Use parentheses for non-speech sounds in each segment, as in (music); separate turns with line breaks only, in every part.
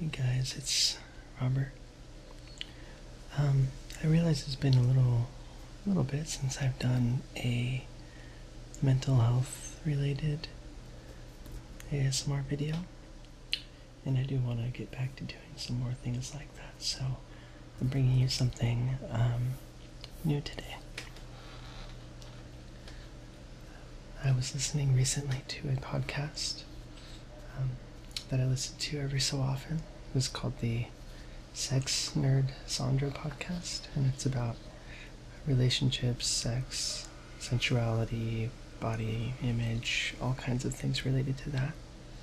Hey guys, it's Robert. Um, I realize it's been a little, little bit since I've done a mental health related ASMR video, and I do want to get back to doing some more things like that. So I'm bringing you something um, new today. I was listening recently to a podcast um, that I listen to every so often. It was called the Sex Nerd Sondra podcast, and it's about relationships, sex, sensuality, body image, all kinds of things related to that.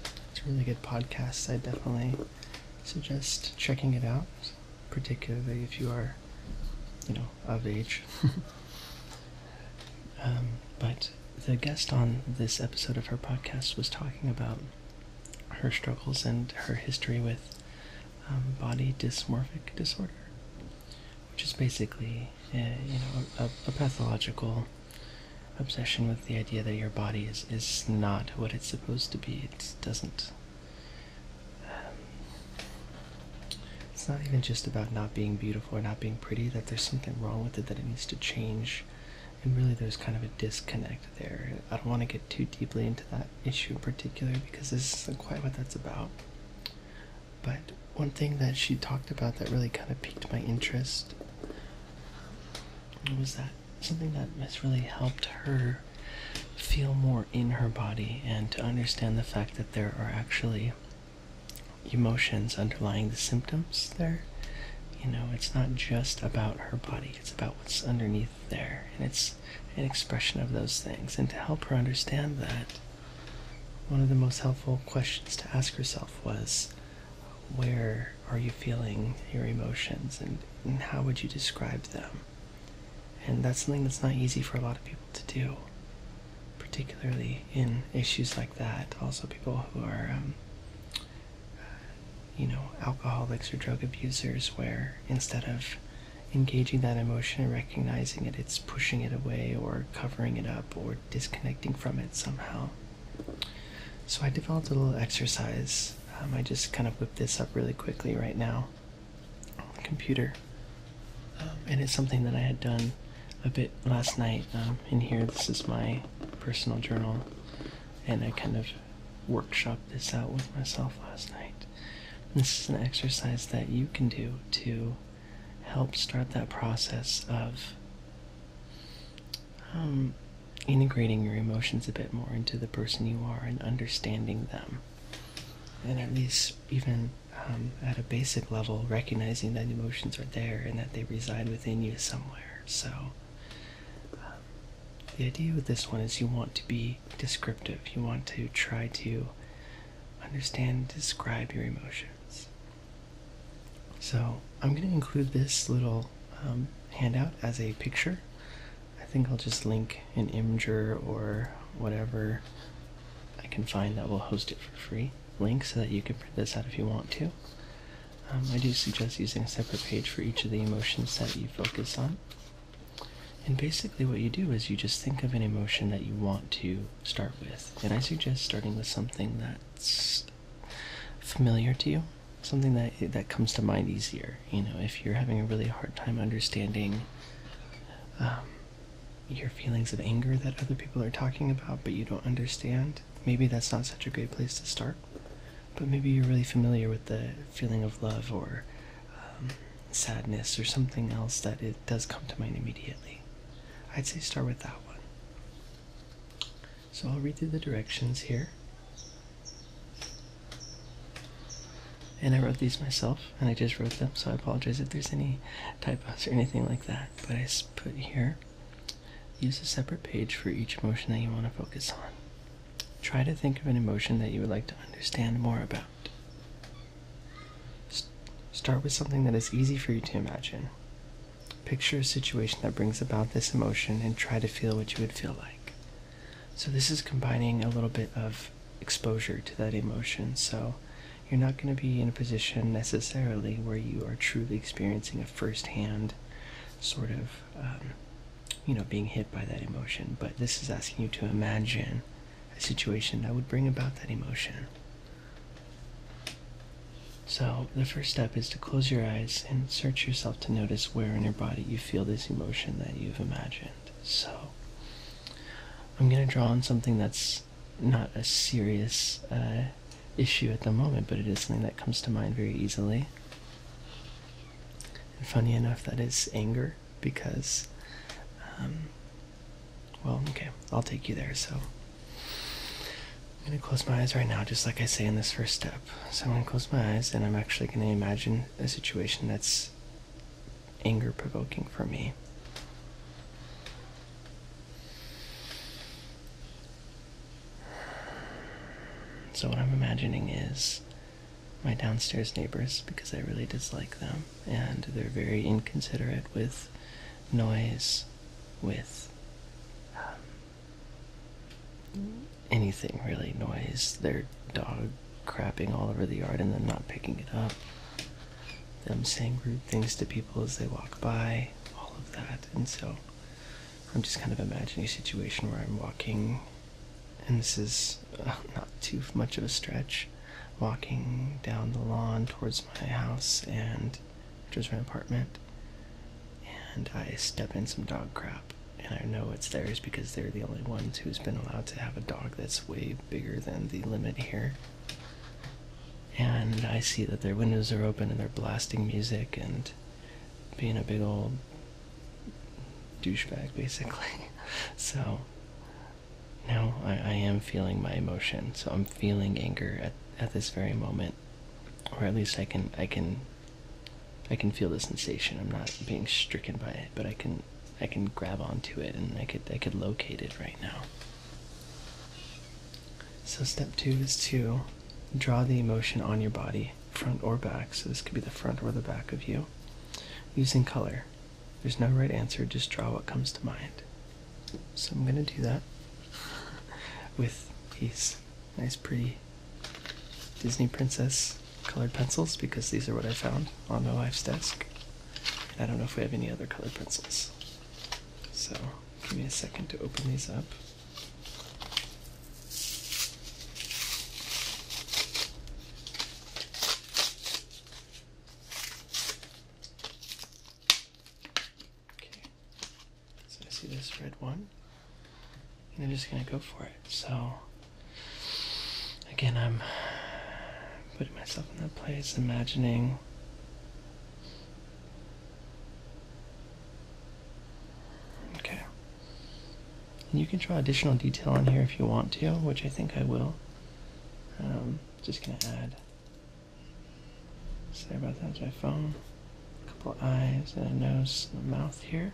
It's a really good podcast. I definitely suggest checking it out, particularly if you are, you know, of age. (laughs) Um, but the guest on this episode of her podcast was talking about her struggles and her history with um, body dysmorphic disorder, which is basically a, uh, you know a, pathological obsession with the idea that your body is, is not what it's supposed to be. It doesn't um, it's not even just about not being beautiful or not being pretty, that there's something wrong with it that it needs to change. And really, there's kind of a disconnect there. I don't want to get too deeply into that issue in particular because this isn't quite what that's about. But one thing that she talked about that really kind of piqued my interest was that something that has really helped her feel more in her body and to understand the fact that there are actually emotions underlying the symptoms there. You know, it's not just about her body, it's about what's underneath there. And it's an expression of those things. And to help her understand that, one of the most helpful questions to ask herself was where are you feeling your emotions and, and how would you describe them? And that's something that's not easy for a lot of people to do particularly in issues like that. Also, people who are, um, uh, you know, alcoholics or drug abusers, where instead of engaging that emotion and recognizing it, it's pushing it away or covering it up or disconnecting from it somehow. So, I developed a little exercise. Um, I just kind of whipped this up really quickly right now on the computer. Um, and it's something that I had done a bit last night. Um, in here, this is my personal journal, and I kind of workshopped this out with myself last night. this is an exercise that you can do to help start that process of um, integrating your emotions a bit more into the person you are and understanding them. And at least even um, at a basic level, recognizing that emotions are there and that they reside within you somewhere. So, um, the idea with this one is you want to be descriptive, you want to try to understand, describe your emotions. So, I'm going to include this little um, handout as a picture. I think I'll just link an Imgur or whatever I can find that will host it for free link so that you can print this out if you want to. Um, I do suggest using a separate page for each of the emotions that you focus on. And basically, what you do is you just think of an emotion that you want to start with. And I suggest starting with something that's familiar to you, something that that comes to mind easier. You know, if you're having a really hard time understanding um, your feelings of anger that other people are talking about, but you don't understand, maybe that's not such a great place to start. But maybe you're really familiar with the feeling of love or um, sadness or something else that it does come to mind immediately. I'd say start with that one. So I'll read through the directions here. And I wrote these myself, and I just wrote them, so I apologize if there's any typos or anything like that but I put here use a separate page for each emotion that you want to focus on. Try to think of an emotion that you would like to understand more about. start with something that is easy for you to imagine. Picture a situation that brings about this emotion and try to feel what you would feel like. So, this is combining a little bit of exposure to that emotion. So, you're not going to be in a position necessarily where you are truly experiencing a first-hand sort of um, you know being hit by that emotion but this is asking you to imagine a situation that would bring about that emotion so the first step is to close your eyes and search yourself to notice where in your body you feel this emotion that you've imagined so i'm going to draw on something that's not a serious uh, issue at the moment, but it is something that comes to mind very easily. And funny enough, that is anger because, um, well, okay, I'll take you there. So I'm going to close my eyes right now, just like I say in this first step. So I'm going to close my eyes and I'm actually going to imagine a situation that's anger provoking for me. So, what I'm imagining is my downstairs neighbors because I really dislike them and they're very inconsiderate with noise, with um, anything really noise. Their dog crapping all over the yard and then not picking it up them saying rude things to people as they walk by, all of that. And so I'm just kind of imagining a situation where I'm walking, and this is uh, not too much of a stretch, walking down the lawn towards my house and towards my apartment, and I step in some dog crap. And I know it's theirs because they're the only ones who's been allowed to have a dog that's way bigger than the limit here and I see that their windows are open and they're blasting music and being a big old douchebag, basically. (laughs) so now I, am feeling my emotion. So I'm feeling anger at at this very moment, or at least I can I can I can feel the sensation. I'm not being stricken by it, but I can I can grab onto it and I could I could locate it right now. So, step two is to draw the emotion on your body, front or back. So, this could be the front or the back of you, using color. There's no right answer, just draw what comes to mind. So, I'm going to do that (laughs) with these nice, pretty Disney Princess colored pencils because these are what I found on my wife's desk. I don't know if we have any other colored pencils. So. Give me a second to open these up. Okay, so I see this red one, and I'm just gonna go for it. So, again, I'm putting myself in that place, imagining Okay. And you can draw additional detail in here if you want to, which I think I will. Um, just gonna add. Sorry about that, my phone. A couple eyes and a nose and a mouth here.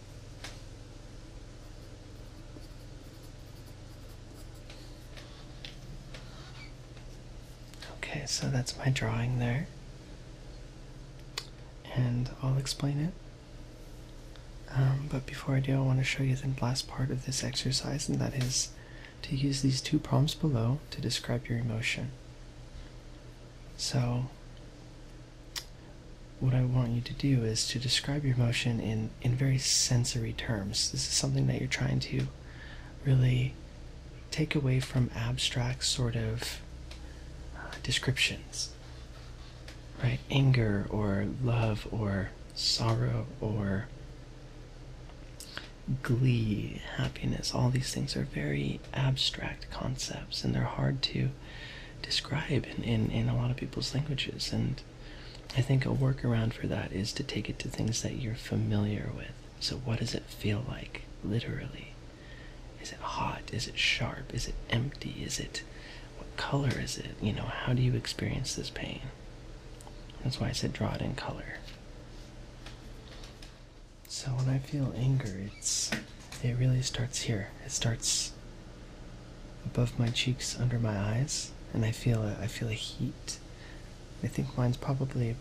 Okay, so that's my drawing there. And I'll explain it. Um, but before I do, I want to show you the last part of this exercise, and that is to use these two prompts below to describe your emotion. So what I want you to do is to describe your emotion in in very sensory terms. This is something that you're trying to really take away from abstract sort of uh, descriptions, right? Anger or love or sorrow or glee, happiness, all these things are very abstract concepts and they're hard to describe in, in, in a lot of people's languages. And I think a workaround for that is to take it to things that you're familiar with. So, what does it feel like, literally? Is it hot? Is it sharp? Is it empty? Is it. What color is it? You know, how do you experience this pain? That's why I said draw it in color. So, when I feel anger, it's it really starts here. It starts above my cheeks, under my eyes, and I feel I feel a heat. I think mine's probably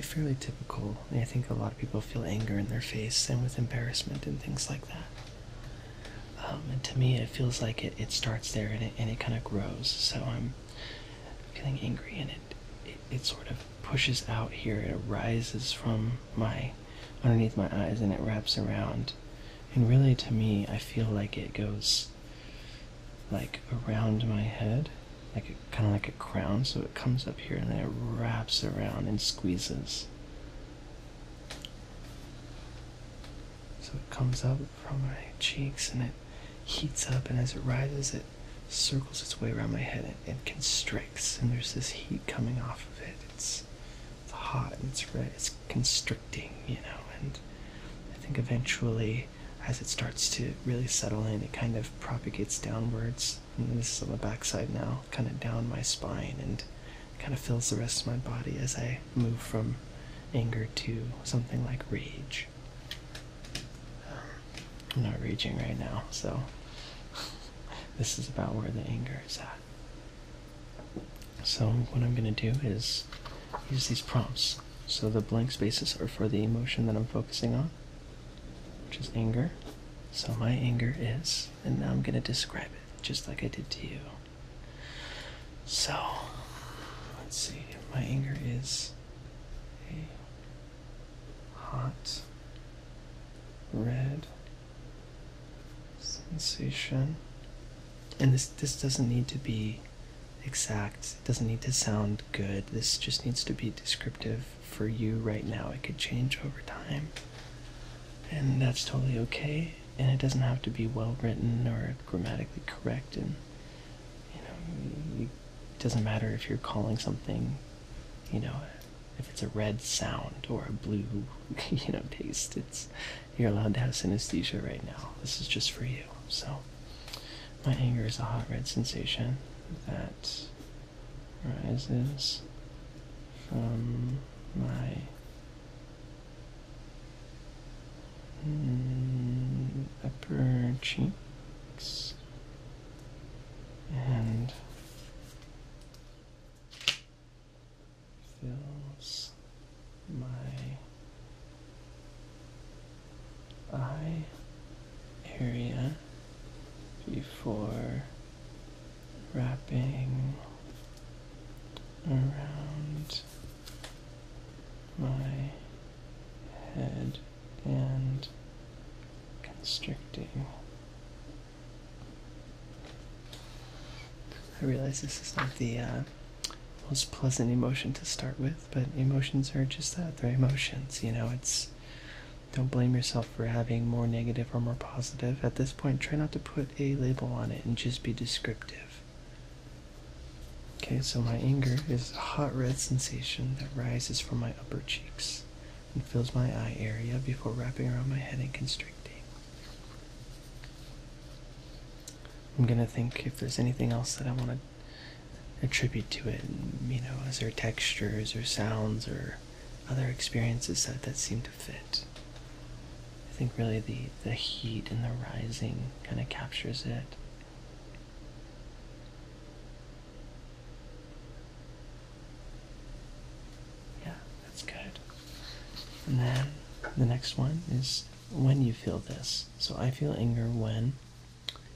fairly typical. I think a lot of people feel anger in their face and with embarrassment and things like that. Um, and to me, it feels like it, it starts there and it, and it kind of grows. So I'm feeling angry and it, it sort of pushes out here. It arises from my underneath my eyes and it wraps around and really to me i feel like it goes like around my head like kind of like a crown so it comes up here and then it wraps around and squeezes so it comes up from my cheeks and it heats up and as it rises it circles its way around my head and, and constricts and there's this heat coming off of it it's it's hot and it's red it's constricting, you know, and I think eventually as it starts to really settle in, it kind of propagates downwards. And this is on the backside now, kind of down my spine and kind of fills the rest of my body as I move from anger to something like rage. I'm not raging right now, so (laughs) this is about where the anger is at. So what I'm going to do is use these prompts. So the blank spaces are for the emotion that I'm focusing on, which is anger. So my anger is, and now I'm going to describe it just like I did to you. So let's see, my anger is a hot red sensation. And this this doesn't need to be exact. It doesn't need to sound good. This just needs to be descriptive for you right now. It could change over time. And that's totally okay. And it doesn't have to be well written or grammatically correct and you know it doesn't matter if you're calling something, you know, if it's a red sound or a blue, (laughs) you know, taste. It's you're allowed to have synesthesia right now. This is just for you. So, my anger is a hot red sensation that rises from my upper cheeks and fills my eye area before wrapping around my head and constricting I realize this is not the uh, most pleasant emotion to start with, but emotions are just that. They're emotions, you know. It's don't blame yourself for having more negative or more positive. At this point, try not to put a label on it and just be descriptive. Okay, so my anger is a hot red sensation that rises from my upper cheeks and fills my eye area before wrapping around my head and constricting. I'm gonna think if there's anything else that I want to attribute to it. You know, as there textures or sounds or other experiences that that seem to fit? I think really the the heat and the rising kind of captures it. Yeah, that's good. And then the next one is when you feel this. So I feel anger when,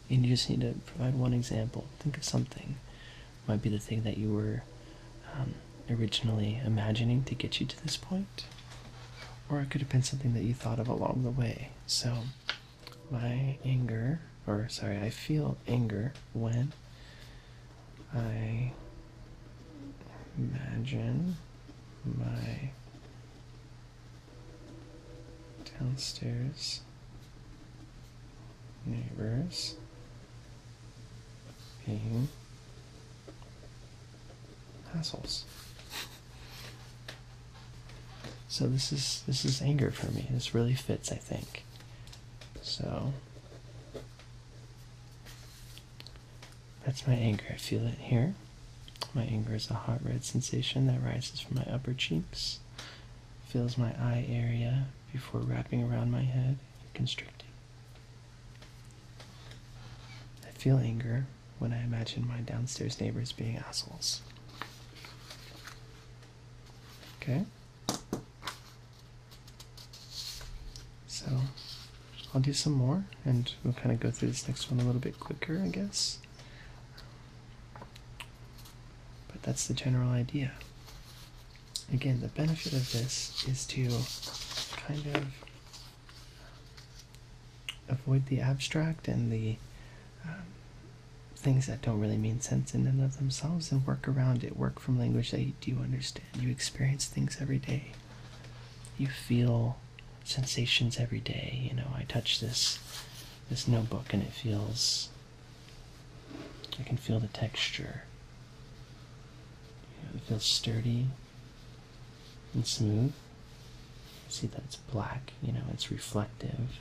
and you just need to provide one example. Think of something. Might be the thing that you were um, originally imagining to get you to this point, or it could have been something that you thought of along the way. So my anger, or sorry, I feel anger when I imagine my downstairs neighbors being hassles. So this is this is anger for me. This really fits, I think. So that's my anger. I feel it here. My anger is a hot red sensation that rises from my upper cheeks, fills my eye area before wrapping around my head and constricting. I feel anger when I imagine my downstairs neighbors being assholes. Okay? So, I'll do some more and we'll kind of go through this next one a little bit quicker, I guess. But that's the general idea. Again, the benefit of this is to kind of avoid the abstract and the um, things that don't really mean sense in and of themselves and work around it, work from language that you do understand. You experience things every day. You feel sensations every day. You know, I touch this this notebook and it feels I can feel the texture. it feels sturdy and smooth. See that it's black, you know, it's reflective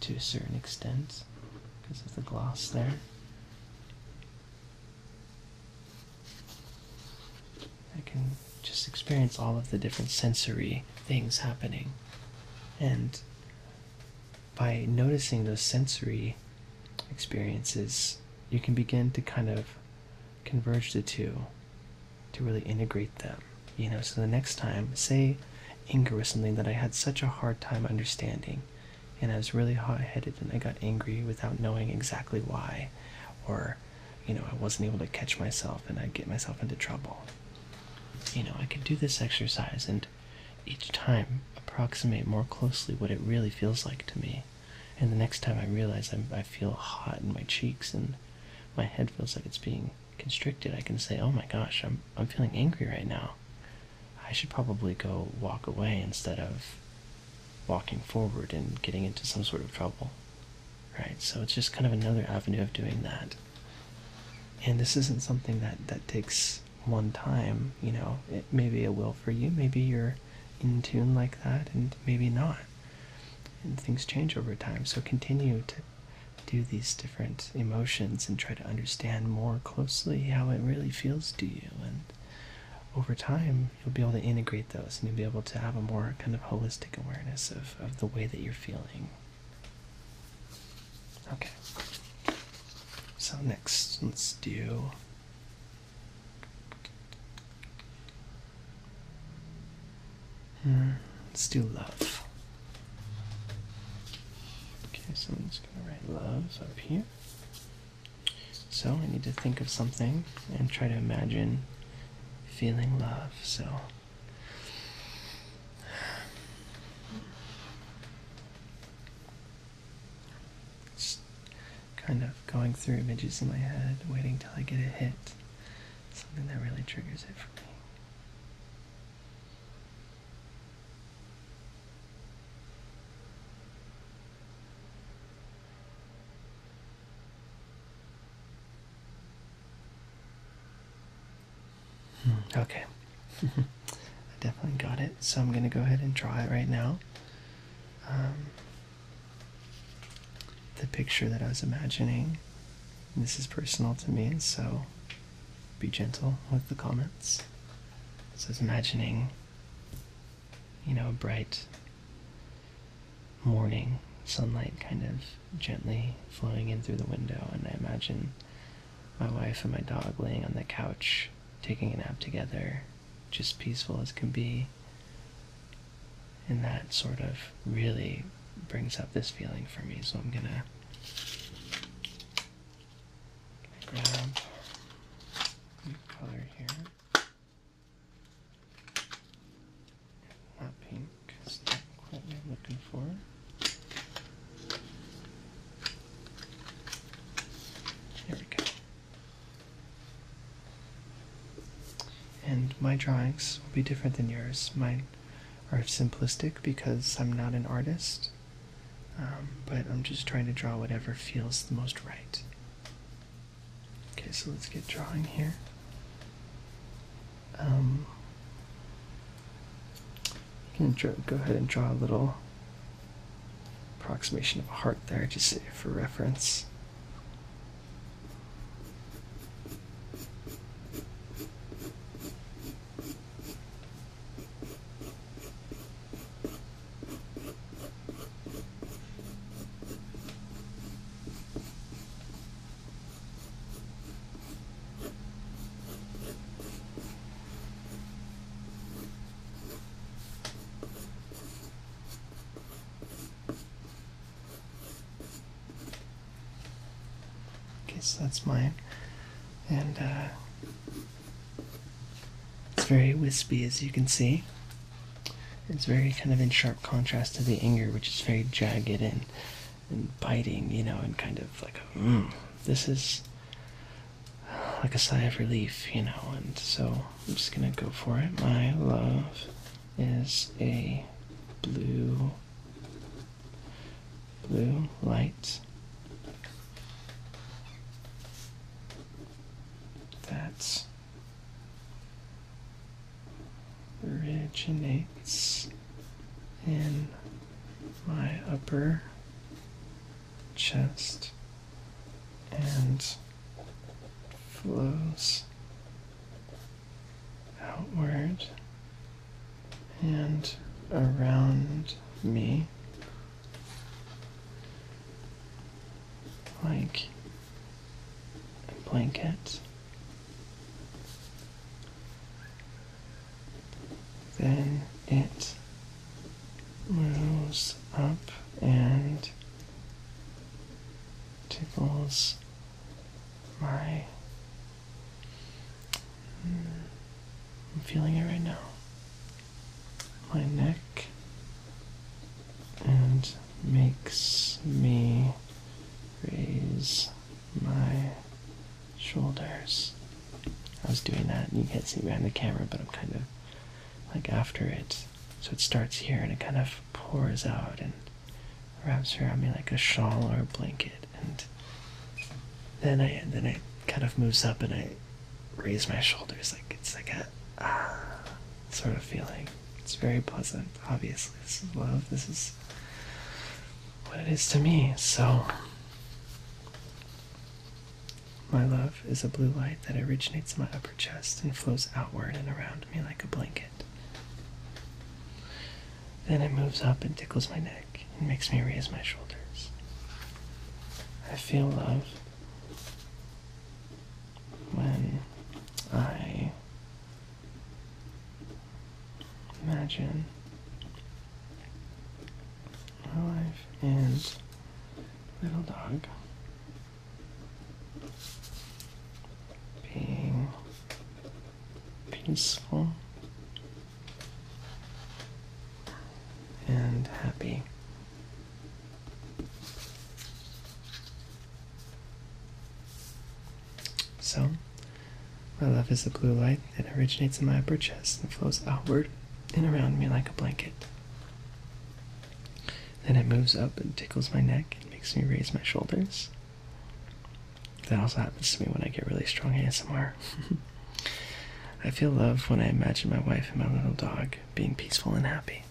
to a certain extent because of the gloss there. I can just experience all of the different sensory things happening. And by noticing those sensory experiences, you can begin to kind of converge the two to really integrate them. You know, so the next time, say anger was something that I had such a hard time understanding, and I was really hot headed and I got angry without knowing exactly why or you know, I wasn't able to catch myself and I'd get myself into trouble. You know, I can do this exercise and each time approximate more closely what it really feels like to me. And the next time I realize I'm, I feel hot in my cheeks and my head feels like it's being constricted, I can say, oh my gosh, I'm, I'm feeling angry right now. I should probably go walk away instead of walking forward and getting into some sort of trouble. Right? So it's just kind of another avenue of doing that. And this isn't something that, that takes one time, you know. It, maybe it will for you. Maybe you're in tune like that, and maybe not. And things change over time. So continue to do these different emotions and try to understand more closely how it really feels to you and over time you'll be able to integrate those and you'll be able to have a more kind of holistic awareness of, of the way that you're feeling okay so next let's do hmm, let's do love okay so i'm just going to write love up here so I need to think of something and try to imagine feeling love. So just kind of going through images in my head, waiting till I get a hit. Something that really triggers it for me. Hmm, okay. (laughs) I definitely got it, so I'm going to go ahead and draw it right now. Um, the picture that I was imagining. This is personal to me, and so be gentle with the comments. This is imagining you know, a bright morning, sunlight kind of gently flowing in through the window, and I imagine my wife and my dog laying on the couch, taking a nap together, just peaceful as can be. And that sort of really brings up this feeling for me, so I'm gonna grab color here. Not pink. not quite what I'm looking for. There we go. And my drawings will be different than yours. Mine are simplistic because I'm not an artist, um, but I'm just trying to draw whatever feels the most right. Okay, so let's get drawing here. Um, you can go ahead and draw a little approximation of a heart there, just for reference. Okay, so that's mine. And uh, it's very wispy as you can see. It's very kind of in sharp contrast to the anger, which is very jagged and, and biting, you know, and kind of like a, mm, this is like a sigh of relief, you know, and so I'm just gonna go for it. My love is a blue, blue light. That originates in my upper chest and flows outward and around me like and blankets. Then it moves up and tickles my. Hmm, I'm feeling it right now. My neck and makes me raise my shoulders. I was doing that, and you can't see me behind the camera, but I'm kind of like after it. So it starts here and it kind of pours out and wraps around me like a shawl or a blanket. And then I then it kind of moves up and I raise my shoulders like it's like a ah, sort of feeling. It's very pleasant, obviously. This is love. This is what it is to me. So, my love is a blue light that originates in my upper chest and flows outward and around me like a blanket. Then it moves up and tickles my neck and makes me raise my shoulders. I feel love when I Imagine my life and little dog being peaceful and happy. So, my love is a blue light that originates in my upper chest and flows outward and around me like a blanket. Then it moves up and tickles my neck and makes me raise my shoulders. That also happens to me when I get really strong ASMR. (laughs) I feel love when I imagine my wife and my little dog being peaceful and happy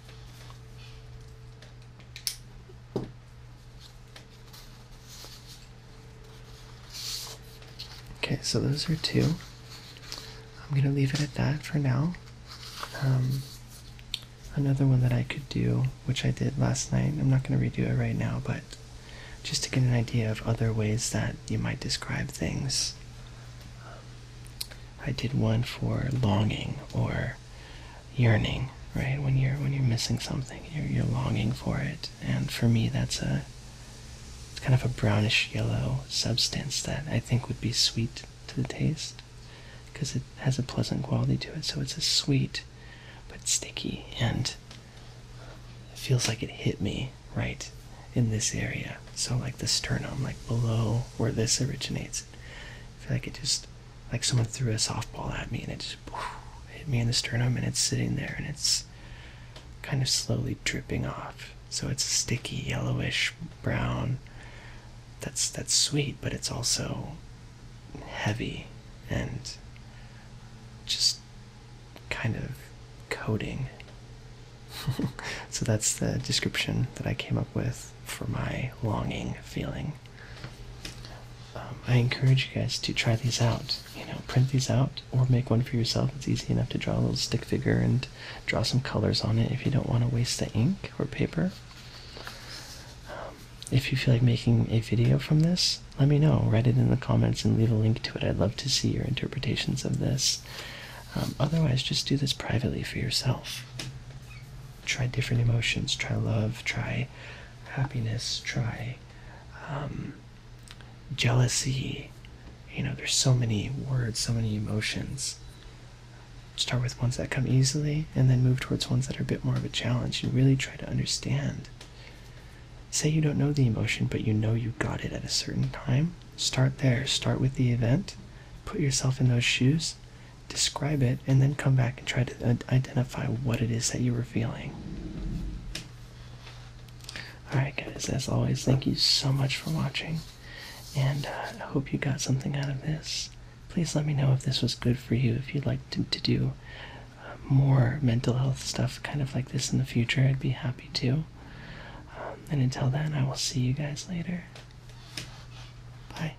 okay. so those are two. I'm gonna leave it at that for now. Um, another one that I could do, which I did last night, I'm not gonna redo it right now, but just to get an idea of other ways that you might describe things. I did one for longing or yearning, right? When you're when you're missing something, you're you're longing for it. And for me, that's a it's kind of a brownish yellow substance that I think would be sweet to the taste because it has a pleasant quality to it. So it's a sweet but sticky and feels like it hit me right in this area. So like the sternum, like below where this originates. I feel like it just like someone threw a softball at me and it just hit me in the sternum and it's sitting there and it's kind of slowly dripping off. So it's sticky, yellowish brown. That's that's sweet, but it's also heavy and just kind of coating. (laughs) so that's the description that I came up with for my longing feeling. Um, I encourage you guys to try these out. You know, print these out or make one for yourself. It's easy enough to draw a little stick figure and draw some colors on it if you don't want to waste the ink or paper. Um, if you feel like making a video from this, let me know. Write it in the comments and leave a link to it. I'd love to see your interpretations of this. Um, otherwise, just do this privately for yourself try different emotions try love try happiness try um, jealousy you know there's so many words so many emotions start with ones that come easily and then move towards ones that are a bit more of a challenge and really try to understand say you don't know the emotion but you know you got it at a certain time start there start with the event put yourself in those shoes describe it, and then come back and try to identify what it is that you were feeling. Alright, guys, as always, thank you so much for watching, and uh, I hope you got something out of this. Please let me know if this was good for you, if you'd like to, do uh, more mental health stuff kind of like this in the future. I'd be happy to. Um, and until then, I will see you guys later. Bye.